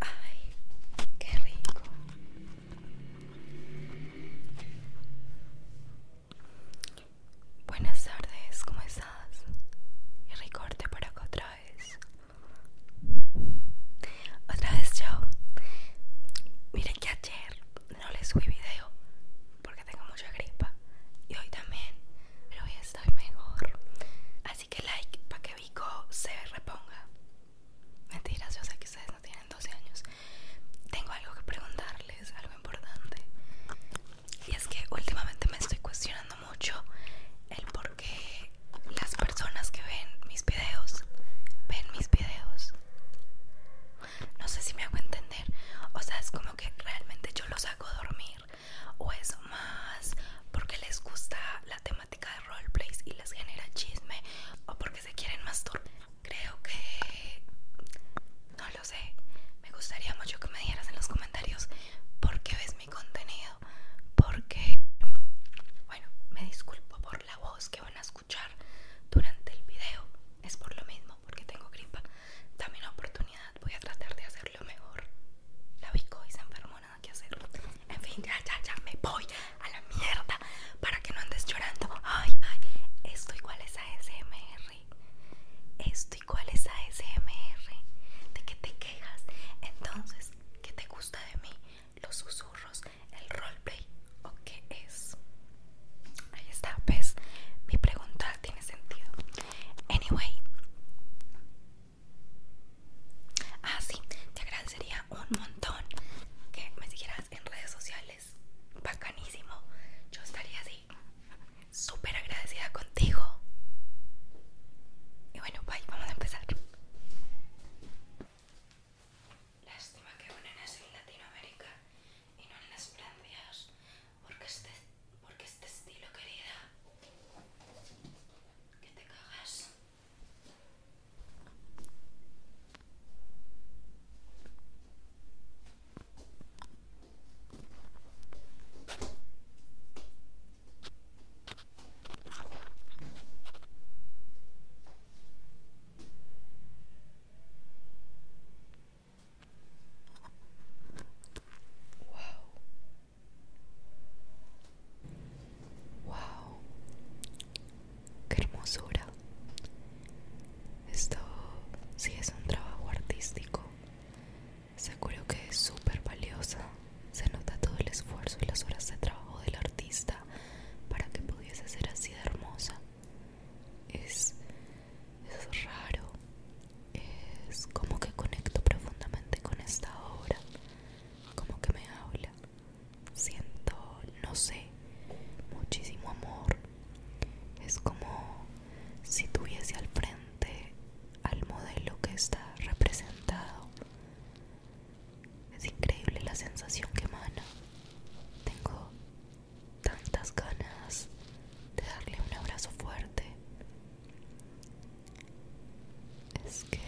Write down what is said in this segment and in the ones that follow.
Ay, qué rico. Buenas tardes, ¿cómo estás? Y recorte para otra vez. Otra vez yo. Miren que ayer no les subí video porque tengo mucha gripa. Y hoy también, pero hoy estoy mejor. Así que like para que Vico se reponga. Mentiras, yo sé que ustedes no tienen 12 años. Tengo algo que preguntarles, algo importante. Y es que últimamente me estoy cuestionando mucho el por qué las personas que ven mis videos ven mis videos. No sé si me hago entender. O sea, es como que realmente yo los hago dormir o es más porque les gusta la temática de roleplay y les genera chisme o porque se quieren más masturbar. Creo que no lo sé. Me gustaría mucho que me dieras en los comentarios por qué ves mi contenido, porque bueno, me disculpo por la voz que van a escuchar durante el video. Es por lo mismo, porque tengo gripa. Dame oportunidad, voy a tratar de hacerlo lo mejor. La bico y se enfermó, nada que hacer. En fin, ya, ya, ya, me voy a la mierda para que no andes llorando. Ay, ay, esto igual es a ASMR. Esto igual es a ASMR. ¿De que te quejas? Entonces, ¿qué te gusta de mí? Los susurros, el roleplay o qué es? Ahí está, ves, mi pregunta tiene sentido. Anyway. Ah, sí, te agradecería un montón que me siguieras en redes sociales. Bacanísimo. Yo estaría así. Súper agradecida contigo. Y bueno, bye, vamos a empezar. Lástima que una en Latinoamérica y no en las Francias, porque este, porque este estilo, querida, que te cagas. Wow. Wow. Qué hermosura. Esto sí es un trabajo artístico. Seguro que es súper valiosa. Se nota todo el esfuerzo y las horas de trabajo del artista para que pudiese ser así de hermosa es, raro es como que conecto profundamente con esta obra como que me habla siento no sé muchísimo amor es como si tuviese al frente al modelo que está representado es increíble la sensación que emana tengo tantas ganas de darle un abrazo fuerte. Es que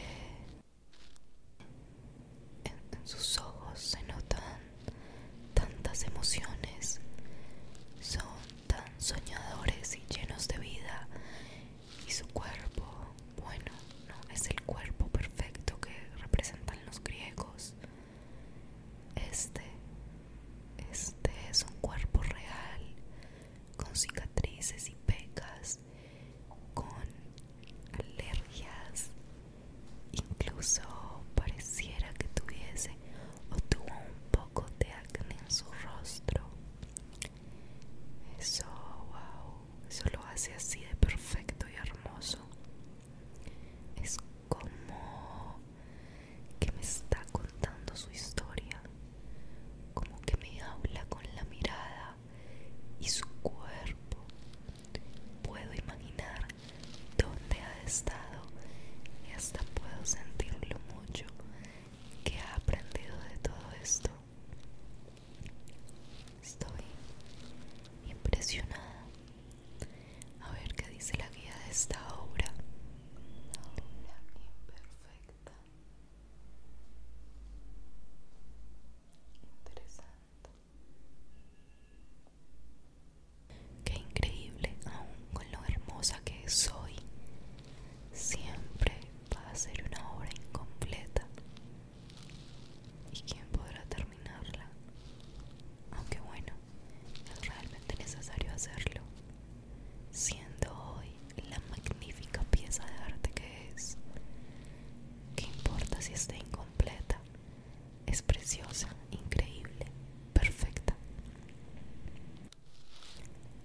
en, sus ojos se notan tantas emociones. Son tan soñadores y llenos de vida. Y su cuerpo, bueno, no es el cuerpo perfecto que representan los griegos. Este, este es un cuerpo real, con cicatrices y pecas, con alergias, incluso pareciera que tuviese o tuvo un poco de acné en su rostro. Eso, wow, eso lo hace así de perfecto y hermoso es como que me está contando su historia, como que me habla con la mirada y su cuerpo. Puedo imaginar dónde ha estado y hasta puedo sentir lo mucho que ha aprendido de todo esto. Estoy impresionada. A ver qué dice la guía de esta obra. La obra imperfecta. Interesante. Qué increíble, aún con lo hermosa que soy, siempre va a ser una obra incompleta. ¿Y quién podrá terminarla? Aunque bueno, es realmente necesario hacerlo, siendo hoy la magnífica pieza de arte que es. ¿Qué importa si está incompleta? Es preciosa, increíble, perfecta.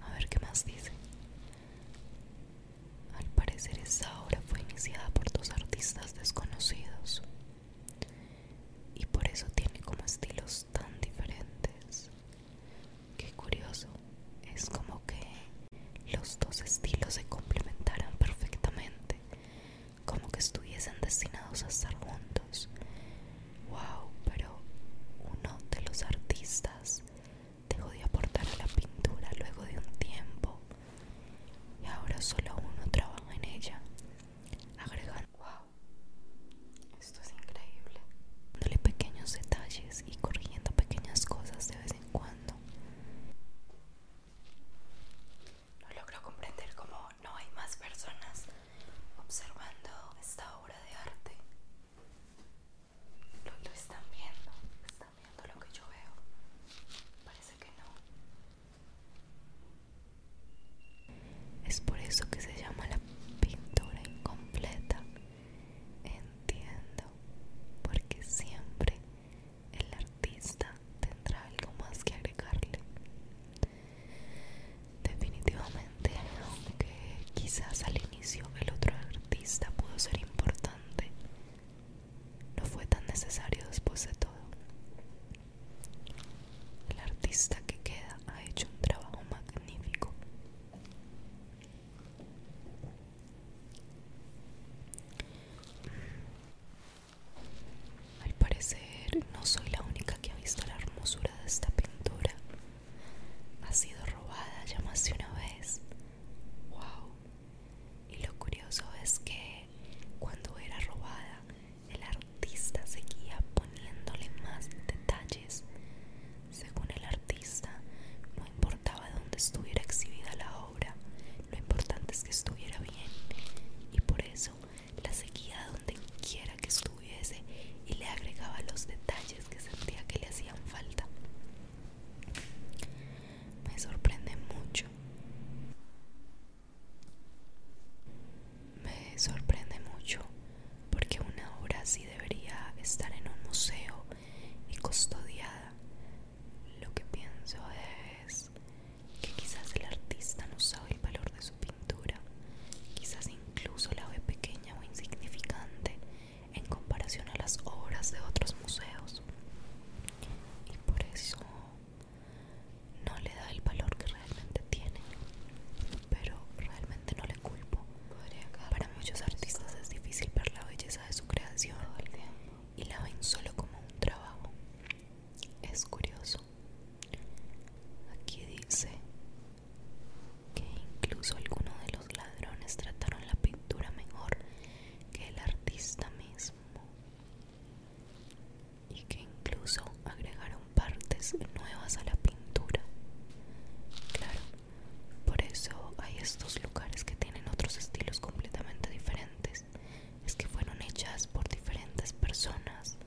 A ver qué más dice. Al parecer esa obra fue iniciada por dos artistas desconocidos y por eso tiene como estilos tan diferentes. Qué curioso, es como que los dos estilos se complementaran perfectamente, como que estuviesen destinados a estar juntos. Wow, pero uno de los artistas dejó de aportar a la pintura luego de un tiempo y ahora solo uno trabaja en ella, Agregar, wow, esto es increíble, dándole pequeños detalles y corrigiendo pequeñas cosas de vez en cuando. No logro comprender cómo no hay más personas observando esta obra de arte. ¿Lo, están viendo? ¿Están viendo lo que yo veo? Parece que no. Es por eso que se llama la pintura incompleta. Entiendo, porque siempre el artista tendrá algo más que agregarle. Definitivamente, aunque quizás al inicio el otro artista pudo ser importante, no fue tan necesario después de todo. El artista que queda ha hecho un trabajo magnífico. Al parecer no soy la única que ha visto la hermosura de esta pintura ha sido robada ya más de una vez. ¡Wow! Y lo curioso es que cuando era robada, el artista seguía poniéndole más detalles. Según el artista, no importaba dónde estuviera exhibida la obra, lo importante es que estuviera bien. Y por eso la seguía donde quiera que estuviera y le agregaba los detalles que sentía que le hacían falta. Me sorprende mucho. Me sorprende mucho porque una obra así debería estar en un museo y custodiada. Lo que pienso es que quizás el artista no sabe el valor de su quizás incluso la ve pequeña o insignificante en comparación a las obras de otros museos. Y por eso no le da el valor que realmente tiene. Pero realmente no le culpo. Para muchos artistas es difícil ver la belleza de su creación y la ven solo como un trabajo. Es curioso. Aquí dice que incluso algunos de los ladrones trataron la pintura mejor que el artista mismo y que incluso agregaron partes nuevas a la pintura. Claro, por eso hay estos lugares que tienen otros estilos completamente diferentes. Es que fueron hechas por diferentes personas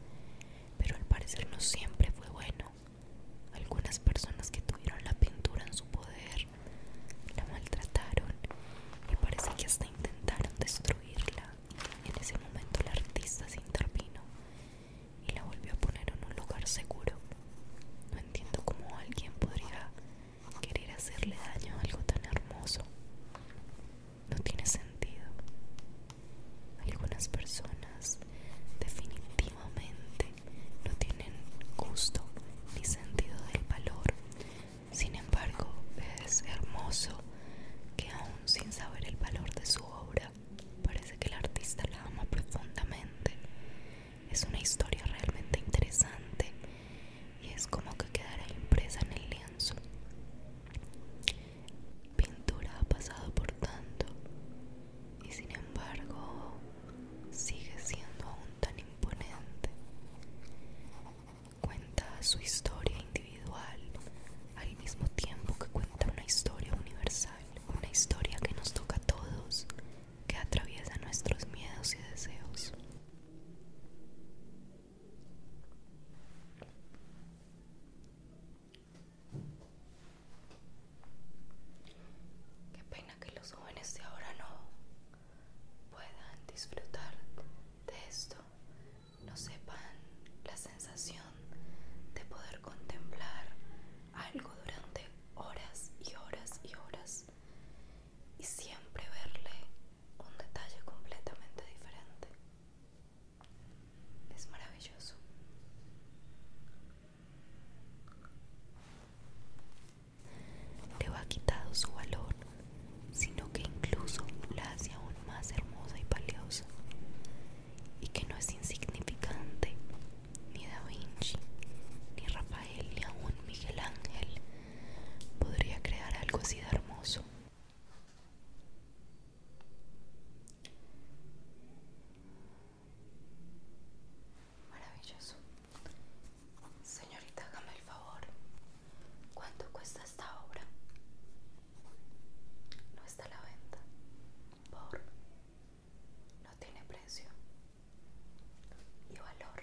pero al parecer no siempre fue bueno. Algunas personas que tuvieron la pintura en su poder la maltrataron y parece que hasta intentaron destruirla. En ese momento el artista se intervino y la volvió a poner en un lugar seguro. No entiendo cómo alguien podría querer hacerle daño a algo tan hermoso no tiene sentido. Algunas personas definitivamente no tienen gusto ni sentido del valor. Sin embargo, es hermoso que aún sin saber el valor de su obra, parece que el artista la ama profundamente. Es una historia realmente interesante y es como que quedará impresa en el lienzo pintura ha pasado por tanto y sin embargo sigue siendo aún tan imponente. Cuenta su historia individual al mismo tiempo que cuenta una historia universal, una historia que nos toca a todos, que atraviesa nuestros miedos y deseos. Qué pena que los jóvenes de ahora no puedan disfrutar de esto, no sepan la sensación de poder contemplar algo durante horas y horas y horas y siempre verle un detalle completamente diferente. Es maravilloso. Te va quitado su valor, sino que incluso la hace aún más hermosa y valiosa, y que no es insignificante, ni Da Vinci, ni Rafael, ni aún Miguel Ángel podría crear algo así de hermoso. Maravilloso. Señorita, hágame el favor. ¿Cuánto cuesta esta obra? No está a la venta. Por. No tiene precio. Y valor.